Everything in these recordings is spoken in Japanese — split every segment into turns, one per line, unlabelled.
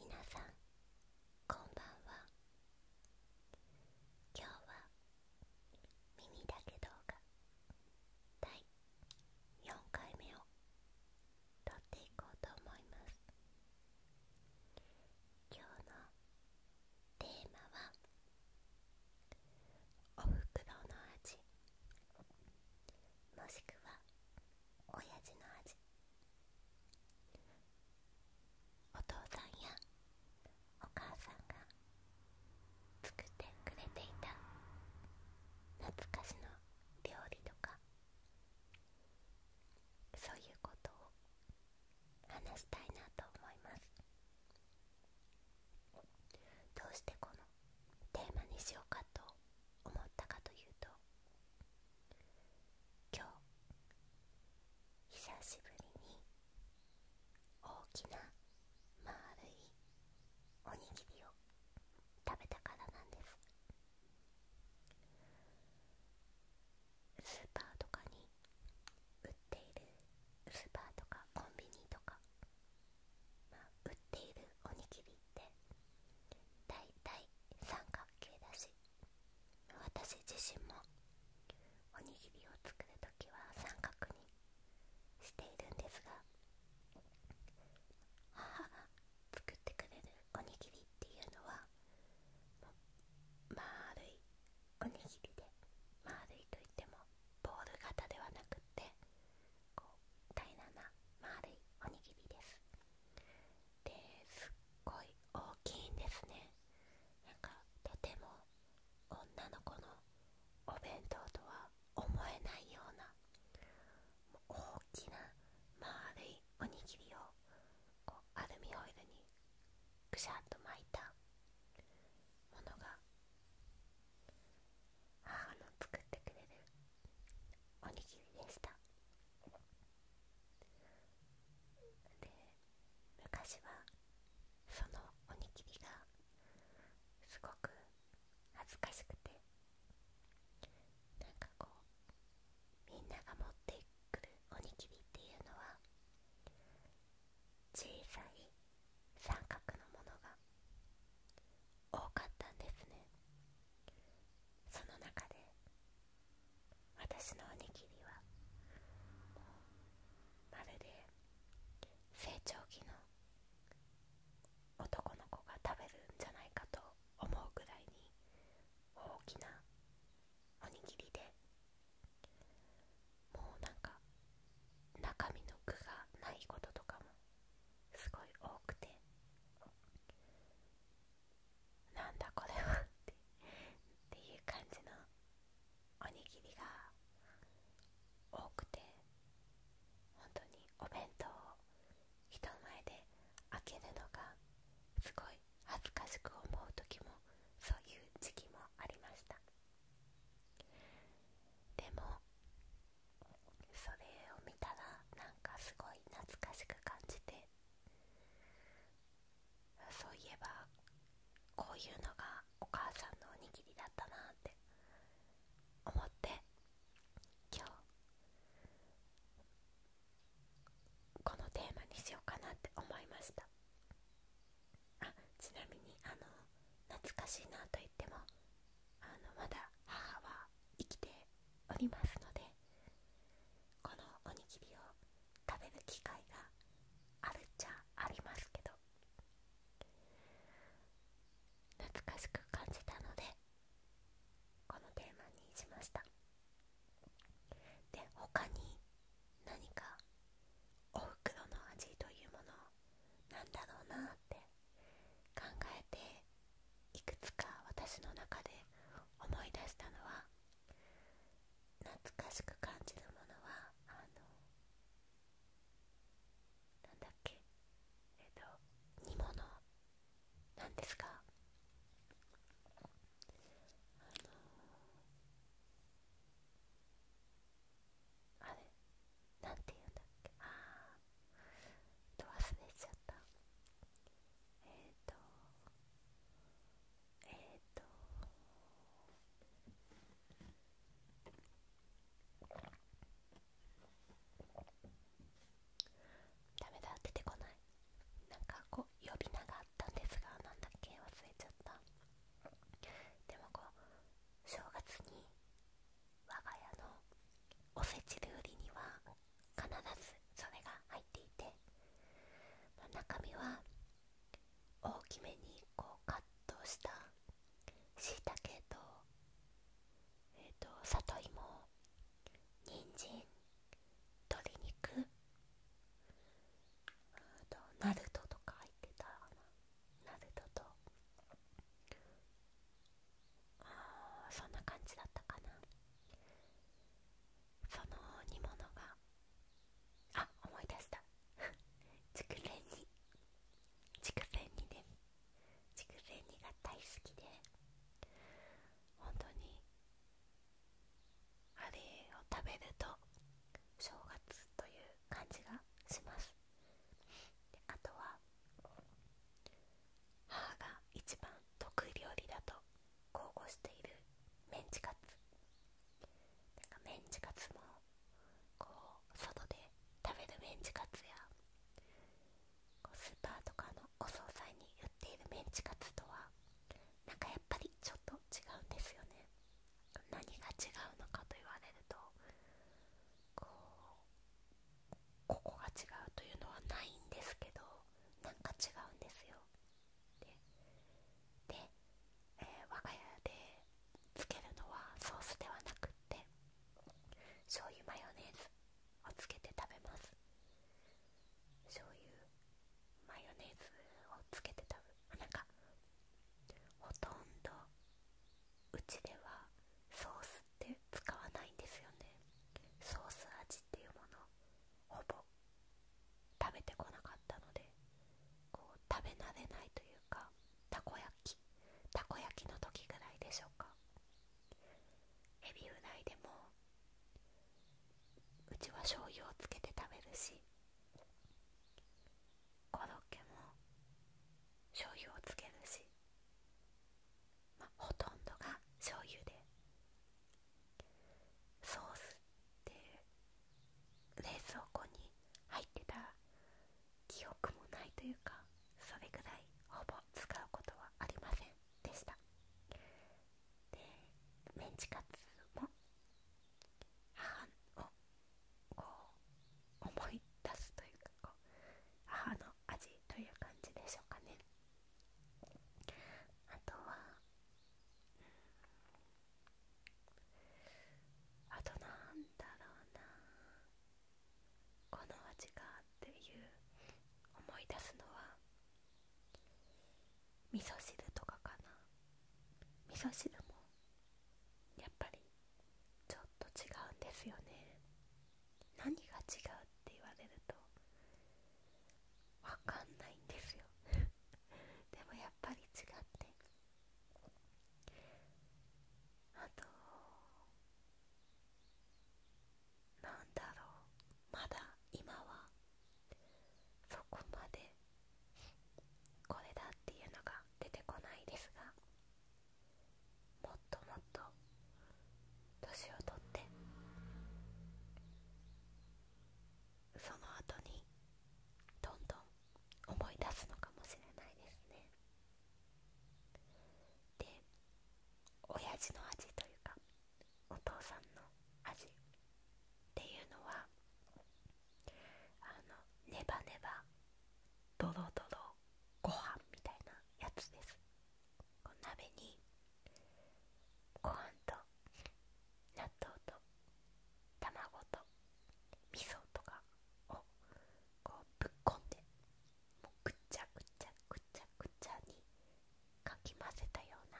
皆さんこんばんは今日は耳だけ動画第4回目を撮っていこうと思います今日のテーマはおふくろの味もしくはおやじの味お父さんやお母さんが作ってくれていた懐かしの料理とかそういうことを話したいなと思いますどうしてこのテーマにしようかと思ったかというと今日久しぶりに大きな丸いおにぎりを食べたからなんですスーパーとかに売っているスーパーとかコンビニとか、まあ、売っているおにぎりってだい三角形だし私自身もおにぎりを作る時は三角にしているんですが母が 作ってくれるおにぎりっていうのは丸いおにぎりで丸いといってもボール型ではなくってこう平らな丸いおにぎりですですっごい大きいんですねなんかとても女の子のお弁当とは思えないような大きな丸いおにぎりをこうアルミホイルにぐしゃっと巻いたものが母の作ってくれるおにぎりでしたで昔はそのおにぎりがすごく恥ずかしくてなかこうみんなが持ってくるおにぎりっていうのは小さい三角のものが多かったんですねその中で私のおにぎりはもうまるで成長期の男の子が食べるんじゃないかと思うぐらいに大きなおにぎりでもうなんか中身の具がないこととかもすごい多くてなんだこれはっていう感じのおにぎりが多くて本当にお弁当を人前で開けるのがすごい恥ずかしく思う時もそういう時期もありましたでもそれを見たらなんかすごい懐かしく感じてそういえばこういうのがお母さんのおにぎりだったなって思って今日このテーマにしようかなって思いましたあちなみにあの懐かしいなと言ってもあのまだ母は生きておりますのでこのおにぎりを食べる機会があるっちゃありますけど懐かしく感じたのでこのテーマにしましたで他に何かおふくろの味というものをなんだろうなって考えていくつか私の中で思い出したのは懐かしく感じるものはあのなんだっけえっ、と煮物なんですか。あのあれなんて言うんだっけああと忘れちゃったえっ、とえっ、とダメだ出てこないなんかこう呼び名があったんですがなんだっけ忘れちゃったでもこう正月に我が家のおせち料理には必ずそれが入っていて、まあ、中身は大きめにこうカットしたしいたけと,、えー、と里芋人参鶏肉あとナルトとか入ってたかななぜとああそんな感じだったかなその煮物があ思い出した筑前煮筑前煮ね筑前煮が大好きで本当にあれを食べると正月という感じがしますであとは母が一番得意料理だと豪語しているメンチカツメンチカツもこう外で食べるメンチカツやスーパーとかのお惣菜に売っているメンチカツとはなんかやっぱりちょっと違うんですよね何が違うのかと言われるとこうここが違うというのはないんですけどなんか違うんですよでで、え我が家でつけるのはソースではなくって醤油マヨネーズをつけて食べます醤油マヨネーズをつけて食べなんかほとんどうちではソースって使わないんですよねソース味っていうものほぼ食べてこなかったのでこう食べ慣れないというかたこ焼きたこ焼きの時ぐらいでしょうかエビフライでもうちは醤油をつけて食べるしコロッケも醤油をつけるし、ほとんどが醤油でソースって冷蔵庫に入ってた記憶もないというかそれぐらいほぼ使うことはありませんでしたでメンチカツも半をこう思い出すというかこう母の味という感じでしょうかねあとはあとなんだろうなこの味がっていう思い出すのは味噌汁とかかな味噌汁もやっぱりちょっと違うんですよね何が違うって言われるとわかんないんですよ でもやっぱり違ってあとなんだろうまだ今はそこまでこれだっていうのが出てこないですがもっともっと年をとってその後にどんどん思い出すのかもしれないですねで親父の味というかお父さんの味っていうのはあのネバネバドロドロご飯みたいなやつです鍋にご飯と納豆と卵と味噌とかをこうぶっこんでぐちゃぐちゃぐちゃぐちゃにかき混ぜたような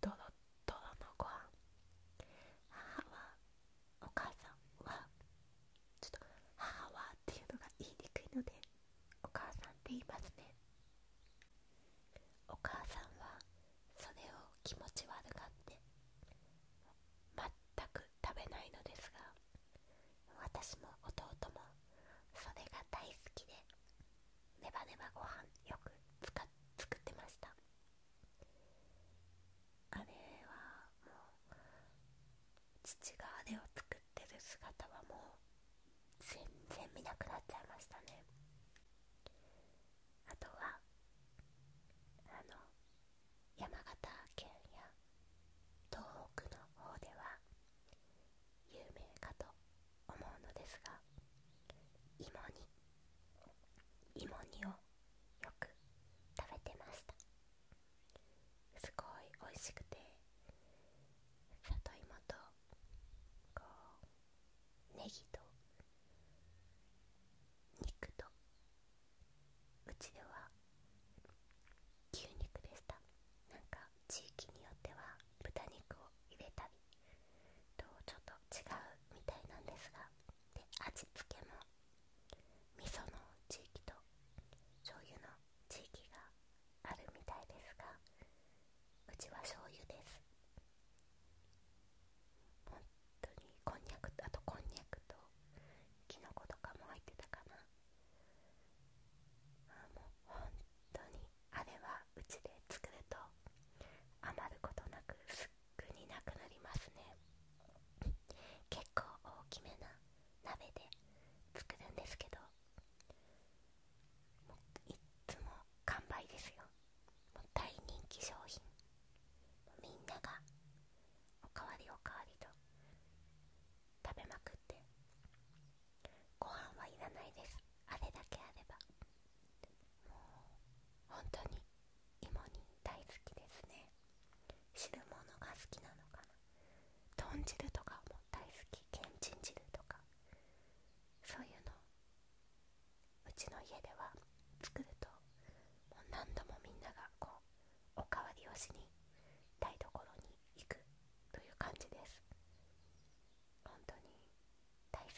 ドロッとろのご飯母はお母さんはちょっと母はっていうのが言いにくいのでお母さんって言いますねお母さんはそれを気持ち悪かって全く食べないのですが私も弟もそれが大好きでネバネバご飯よく作ってましたあれはもう父があれを作ってる姿はもう全然見なくなっちゃいましたねあとはあの山形県や東北の方では有名かと思うのですが芋煮芋煮をよく食べてましたすごい美味しくて里芋とこうネギと肉とうちでは牛肉でしたなんか地域によっては豚肉を入れたりとちょっと違うみたいなんですがで味付けも味噌の地域と醤油の地域があるみたいですがうちは醤油です本当にこんにゃくあとこんにゃくときのことかも入ってたかなあもう本当にあれはうちで作ると余ることなくすっぐになくなりますね結構大きめな鍋で作るんですけどいっつも完売ですよ大人気商品みんながおかわりおかわりと食べまくってご飯はいらないですあれだけあればもう本当に芋煮大好きですね汁物が好きなのかな豚汁とかも大好きけんちん汁とかそういうのうちの家では作るともう何度もみんながこうおかわりをしに台所に行くという感じです本当に大好き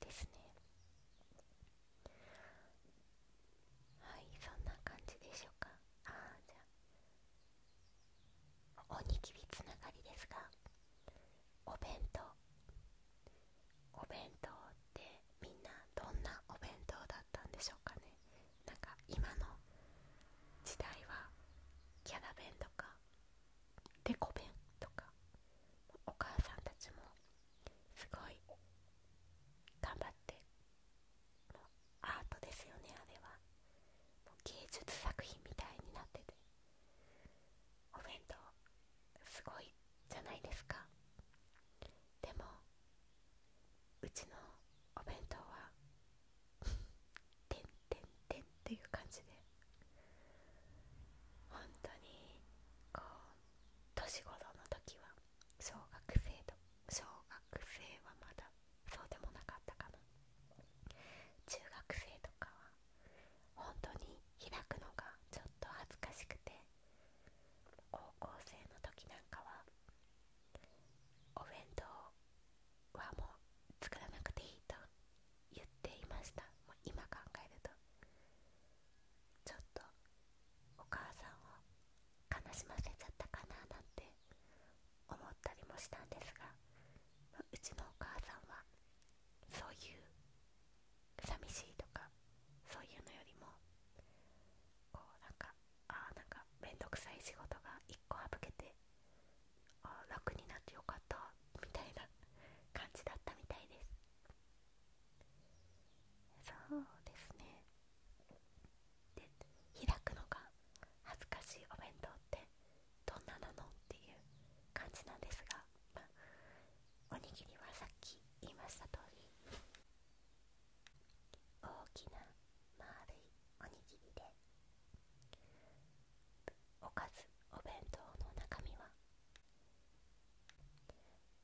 ですねはいそんな感じでしょうかああじゃあおにぎりつながりですか。お弁当お弁当ってみんなどんなお弁当だったんでしょうかねなんか今の時代はキャラ弁とかデコ弁とかお母さんたちもすごい頑張ってアートですよねあれは芸術作品みたいになっててお弁当すごいじゃないですかでもうちのお弁当はてんてんてんっていう感じで本当にこう年頃の時は小学生と小学生はまだそうでもなかったかな中学生とかは本当に開くのがちょっと恥ずかしくて高校生の時なんかはお弁当はもう作らなくていいと言っていましたもう今考えるとちょっとお母さんを悲しませちゃったかななんて思ったりもしたんですがうちのお母さんはそういう寂しいとかそういうのよりもこうなんかああなんかめんどくさい仕事が一個省けてあ楽になってよかったみたいな感じだったみたいですそうですねで開くのが恥ずかしいお弁当ってどんななのっていう感じなんですが、おにぎりはさっき言いました通り大きな丸いおにぎりでおかずお弁当の中身は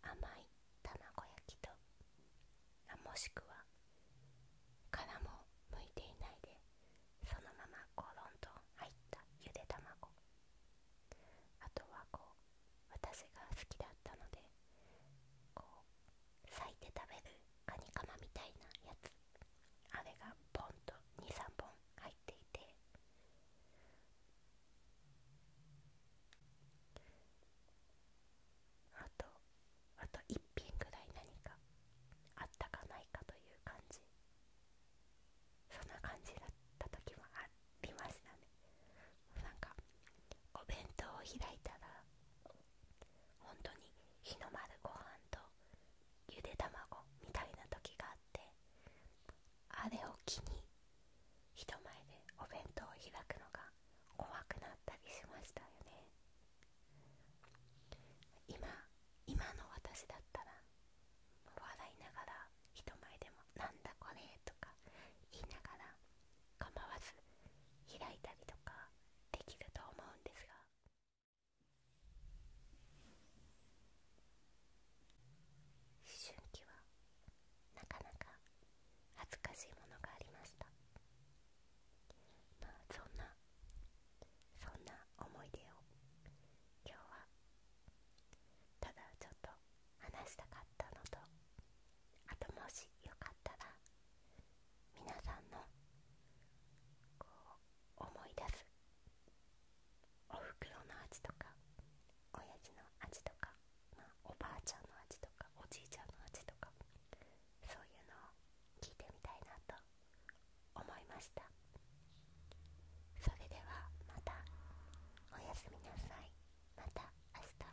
甘い卵焼きともしくは殻も剥いていないでそのままコロンと入ったゆで卵あとはこう私が好きだったのでこう裂いて食べるカニカマみたいなやつあれがポンと23本入っていてあとあと1品ぐらい何かあったかないかという感じそんな感じだった時もありましたねなんかお弁当を開いたら本当に日の丸ご飯とゆで卵みたいな時があってあれを機に人前でお弁当を開くのが怖くなったりしましたよね今今の私だったら笑いながら人前でも「なんだこれ」とか言いながら構わず開いたりとかできると思うんですが。思春期はなかなか恥ずかしいものがありましたまあそんなそんな思い出を今日はただちょっと話したかったのとあともしよかったら皆さんのこう思い出すおふくろの味とかおやじの味とか、まあ、おばあちゃんの味とかおじいちゃんの味とかそういうのを聞いてみたいなと思いましたそれではまたおやすみなさいまた明日